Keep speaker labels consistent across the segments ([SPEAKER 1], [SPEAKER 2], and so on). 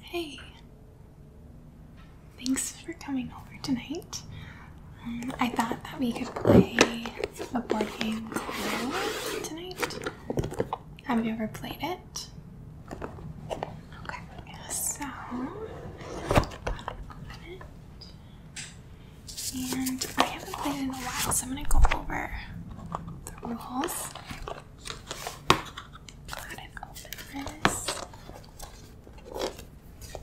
[SPEAKER 1] Hey, thanks for coming over tonight. Um, I thought that we could play a board game tonight. Have you ever played it? Okay, so open it. And I haven't played it in a while, so I'm gonna go over the rules Go ahead and open this. So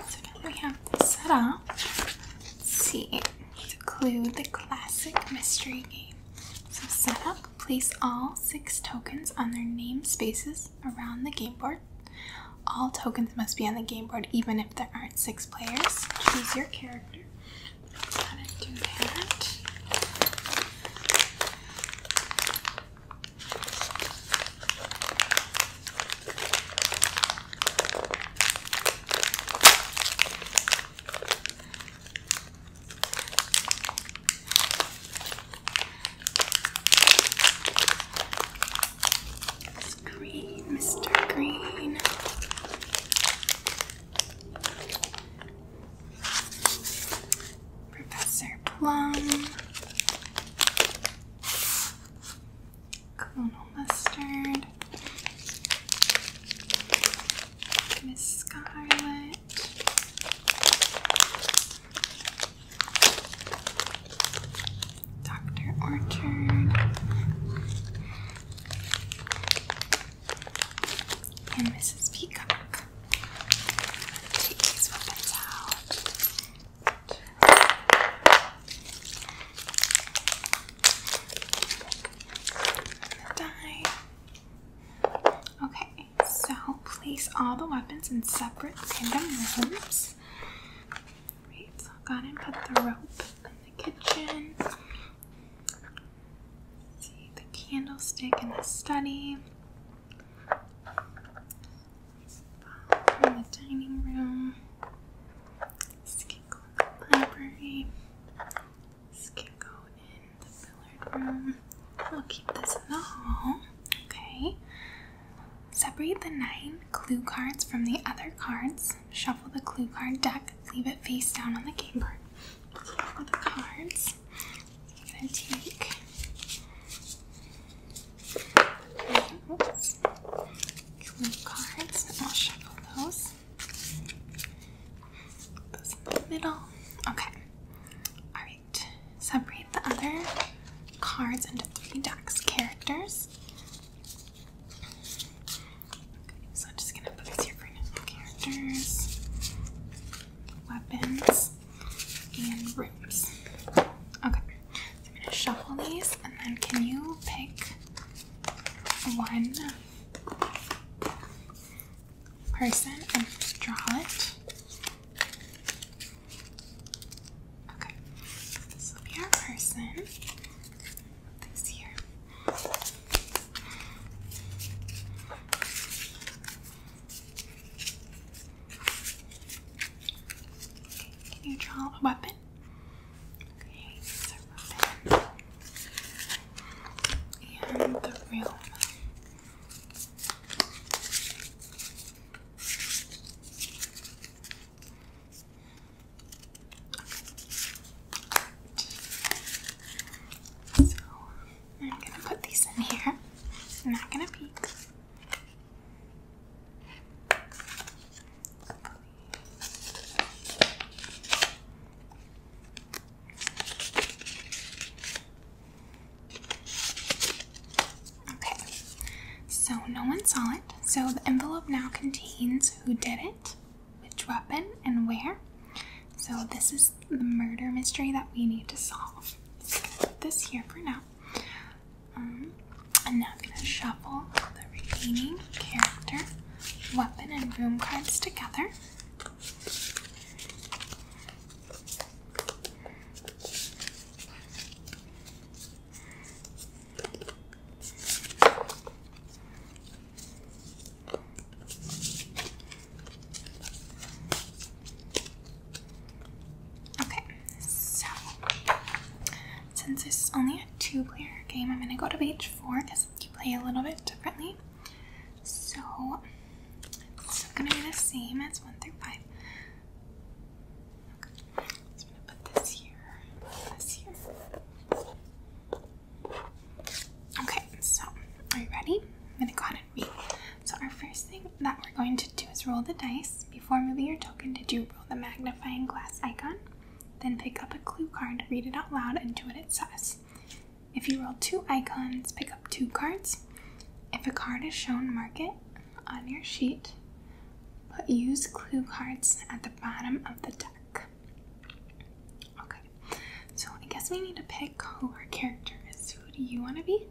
[SPEAKER 1] now we have this set up. Let's see. clue the classic mystery game so set up. Place all six tokens on their name spaces around the game board. All tokens must be on the game board even if there aren't six players. Choose your character. How to do that green, Mr. Green. Professor Plum. Colonel Mustard. Miss Scarlet. Dr. Orchard and Mrs. Peacock. Take these weapons out. die. Okay, so place all the weapons in separate rooms. Right, so I'll go and put the rope in the kitchen. see the candlestick in the study. In the dining room. let the library. This can go in the billiard room. We'll keep this in the hall. Okay. Separate the nine clue cards from the other cards. Shuffle the clue card deck. Leave it face down on the game board. Shuffle the cards. I'm gonna take. Oops. Clue cards. I'll shuffle those. Those in the middle. Okay. Alright. Separate the other cards into three decks characters. weapons, and rooms. Okay. I'm gonna shuffle these and then can you pick one person and draw it. Okay, this will be our person. This here. can you draw a weapon? Okay, here's our weapon and the room. Okay. So I'm gonna put these in here. I'm not gonna peek. Okay, so no one saw it. So the envelope now contains who did it, which weapon, and where. So this is the murder mystery that we need to solve. this here for now. Um, and now I'm going to shuffle the remaining character, weapon, and room cards together. Okay, so since this is only a two player game, I'm going to go to page four you play a little bit differently. So it's going to be the same as 1 through 5. I'm going to put this here, Okay, so are you ready? I'm going to go ahead and read. So our first thing that we're going to do is roll the dice. Before moving your token, did you roll the magnifying glass icon? Then pick up a clue card, read it out loud, and do what it says. If you roll two icons, pick up two cards. If a card is shown, mark it on your sheet, but use clue cards at the bottom of the deck. Okay, so I guess we need to pick who our character is. Who do you want to be?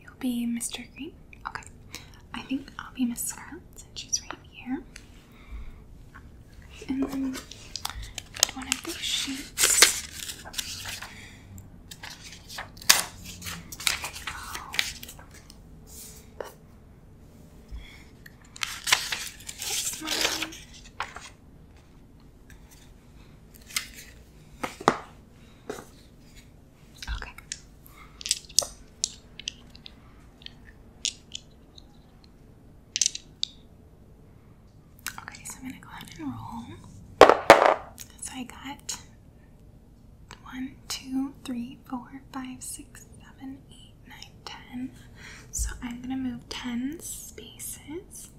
[SPEAKER 1] You'll be Mr. Green. Okay, I think I'll be Miss Scarlet since she's right here. And then one of these sheets. Okay. Okay, so I'm gonna go ahead and roll. So I got one, two, three, four, five, six, seven, eight, nine, ten. So I'm gonna move ten spaces.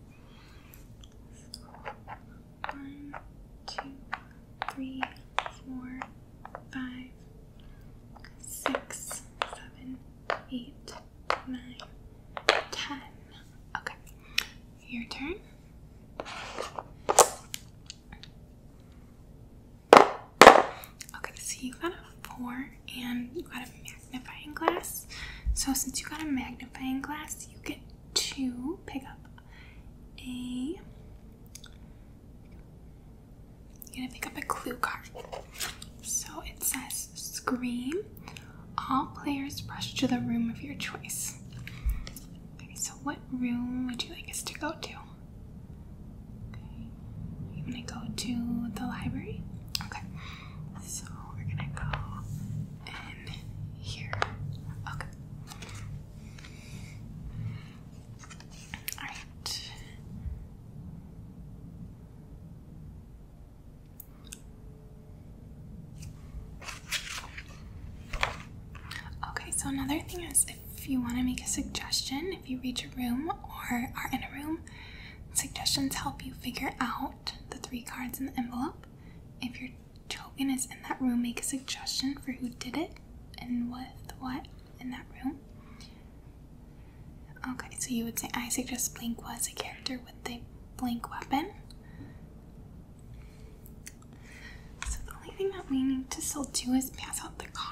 [SPEAKER 1] One, two, three, four, five, six, seven, eight nine, ten. Okay, your turn. Okay, so you got a four and you got a magnifying glass. So since you got a magnifying glass, you get to pick up a I'm gonna pick up a clue card. So it says Scream. All players rush to the room of your choice. Okay, so what room would you like us to go to? Okay. You wanna go to the library? Okay. So we're gonna go in here. Okay. Alright. Okay, so another thing is if you want to make a suggestion, if you reach a room or are in a room, suggestions help you figure out the three cards in the envelope. If your token is in that room, make a suggestion for who did it and with what in that room. Okay, so you would say I suggest Blink was a character with the Blink weapon. So the only thing that we need to still do is pass out the cards.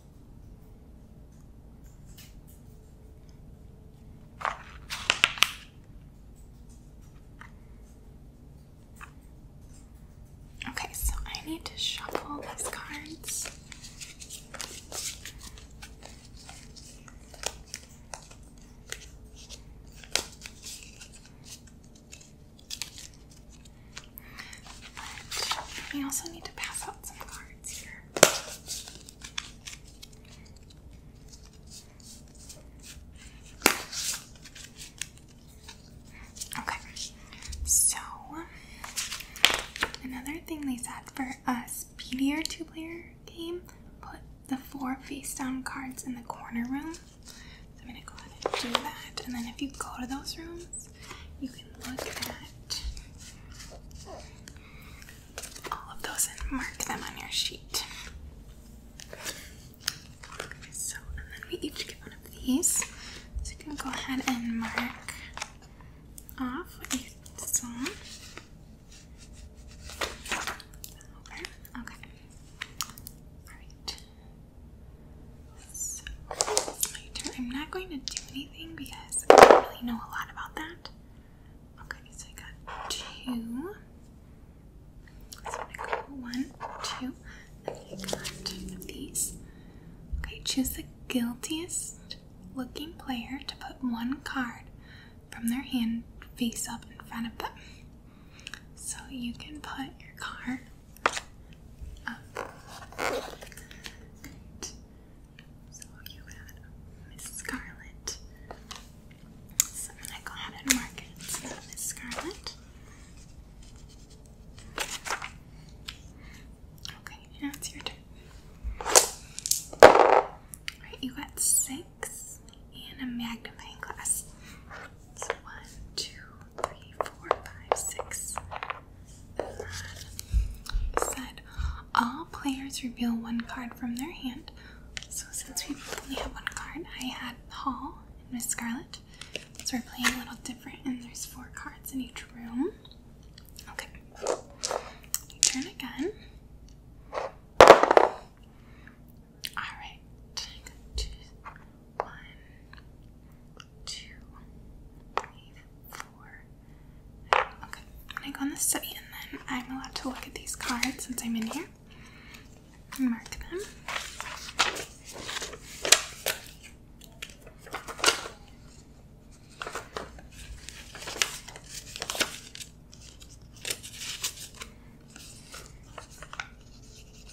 [SPEAKER 1] Okay, so I need to shuffle these cards. But we also need to pass out some cards here. Okay, so another thing they said for a speedier two player game, put the four face down cards in the corner room. So I'm going to go ahead and do that. And then if you go to those rooms, you can look at all of those and mark them on your sheet. so, and then we each get one of these. So you can go ahead and mark off what you saw. Okay. Alright. So I'm not going to do anything because I don't really know a lot about that. Okay, so I got two. So i go one, two, and I got these. Okay, choose the guiltiest looking player to put one card from their hand face up in front of them. So you can put your card so you had Miss Scarlet. So I'm gonna go ahead and mark it. So Miss Scarlet. Okay, now it's your turn. Alright, you got six and a magnifying glass. So one, two, said, all players reveal one card from their hand. So since we only have one card, I had Paul and Miss Scarlet. So we're playing a little different, and there's four cards in each room. Okay. turn again. Alright. Two, one, two, three, four. Okay, I'm gonna go on the study and then I'm allowed to look at these cards since I'm in here mark them.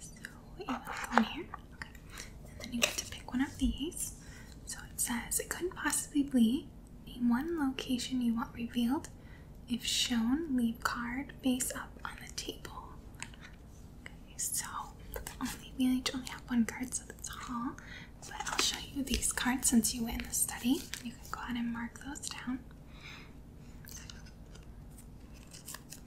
[SPEAKER 1] So you have one here. Okay. And then you get to pick one of these. So it says it couldn't possibly be. Name one location you want revealed. If shown, leave card face up on the table. Okay, so only we each only have one card, so that's all. But I'll show you these cards since you went in the study. You can go ahead and mark those down.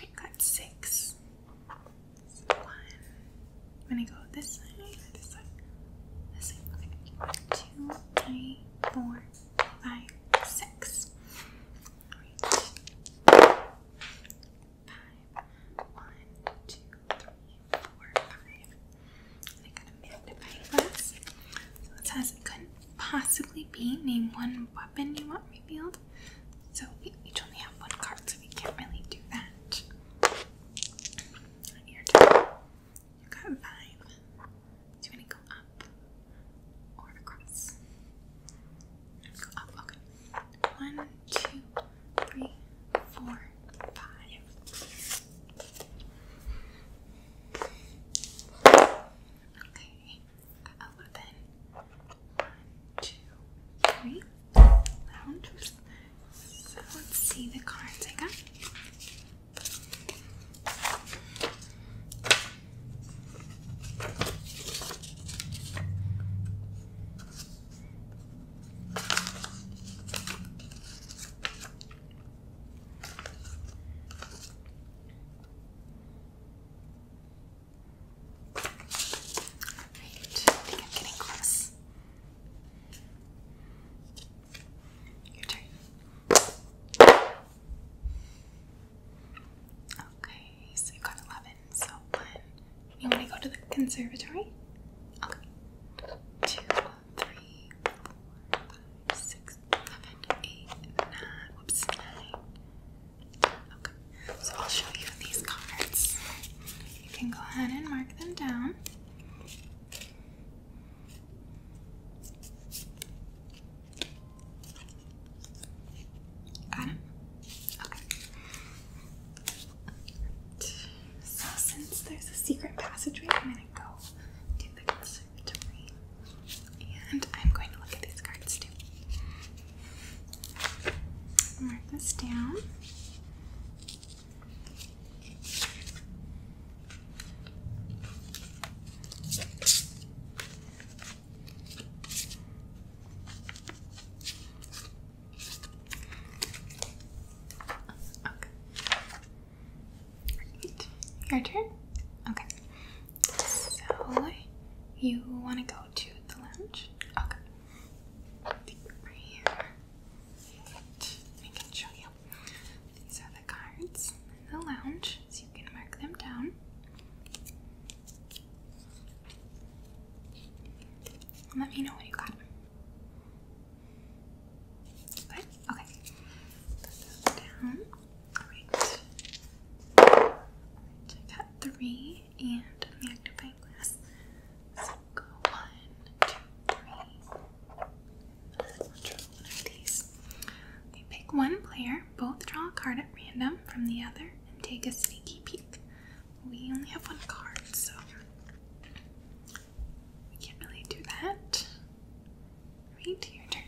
[SPEAKER 1] I got six. one. I'm gonna go this side this side. This side. Two, three, four, five, six. Reach. I got a magnifying glass. So it says good possibly be? Name one weapon you want revealed. So we each only have one card, so we can't really do that. Your turn. You got five. Do you want to go up or across? Go up. Okay. One, two, three, four, five. Okay eleven. One, Round. So let's see the cards I got. I think I'm getting close. Your turn. Okay, so you got 11. So, one. You want to go to the conservatory? Okay. Two, three, four, five, six, seven, eight, nine. Whoops, so I'll show you these cards. You can go ahead and mark them down. Got it? Okay. So, since there's a secret passageway, I'm going to go to the conservatory. And I'm going to look at these cards too. Mark this down. Okay. Your turn? Okay. So you want to go to the lounge? Okay. Right I can show you. These are the cards in the lounge, so you can mark them down. Let me know when you got them. Okay. down. Alright. I got three and a magnifying glass. So go one, two, one of these. You pick one player, both draw a card at random from the other, and take a sneaky peek. We only have one card, so we can't really do that. Right, your turn.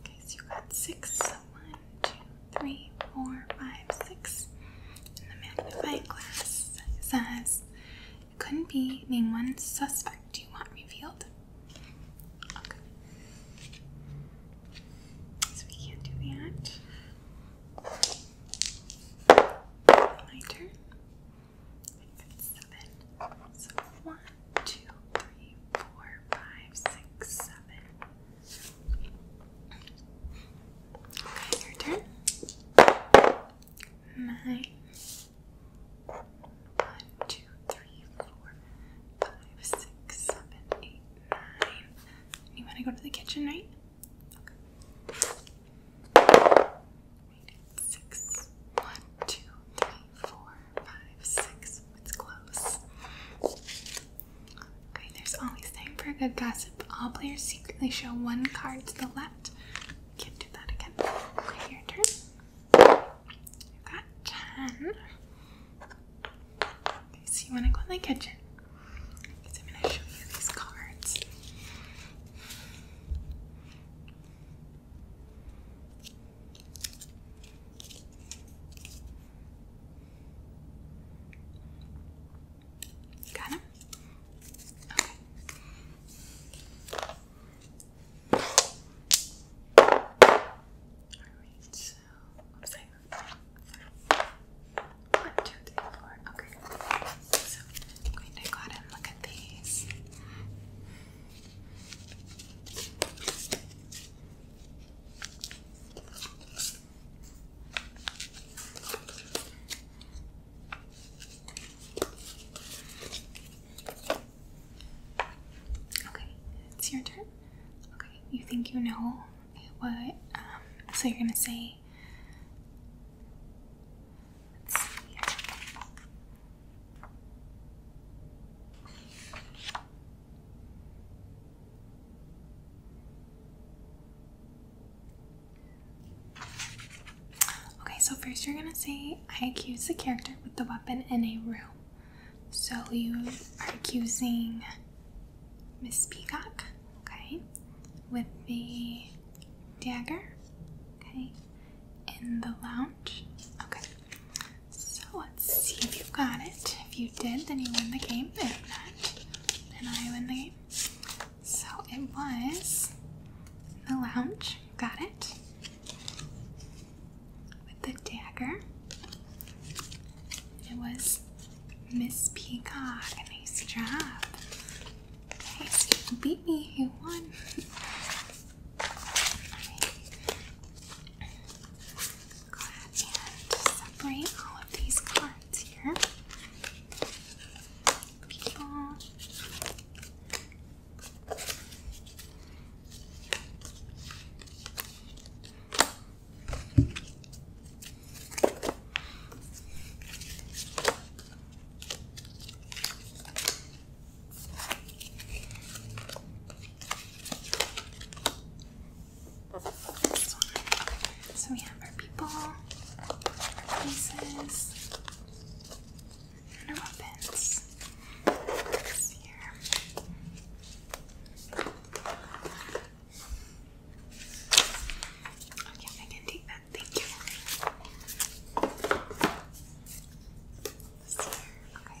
[SPEAKER 1] Okay, you got six. one, two, three, four, five, six. And the magnifying glass says it couldn't be. Name one suspect you want revealed. Okay. So we can't do that. Lighter seven. Okay, your turn. Nine. One, two, three, four, five, six, seven, eight, nine. You want to go to the kitchen, right? Okay. Six. One, two, three, four, five, six. It's close. Okay, there's always time for a good gossip. All players secretly show one card to the left. Can't do that again. Okay, your turn. You got ten. so you want to go in the kitchen? Because I'm going to show you these cards. Got him? Okay. Alright, so one, two, three, four. Okay. So I'm going to go ahead and look at these. Okay, it's your turn. Okay, you think you know what? Um, so you're gonna say. Let's see. Okay, so first you're gonna say, I accuse the character with the weapon in a room. So you are accusing Miss Peacock, okay, with the dagger, okay, in the lounge, okay. So let's see if you got it. If you did, then you win the game. If not, then I win the game. So it was the lounge. Got it. With the dagger. It was Miss Peacock. Nice job. Nice. beat me. You won. Go separate all of these cards here. Okay. So we have our people, our places, and our weapons. Okay, I can take that. Thank you. This here. Okay.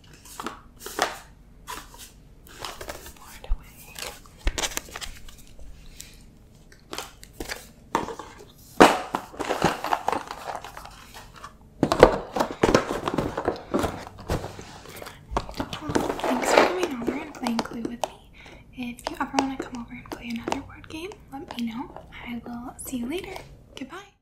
[SPEAKER 1] Thanks for coming over and playing Clue with me. If you ever want to come over and play another board game, let me know. I will see you later. Goodbye.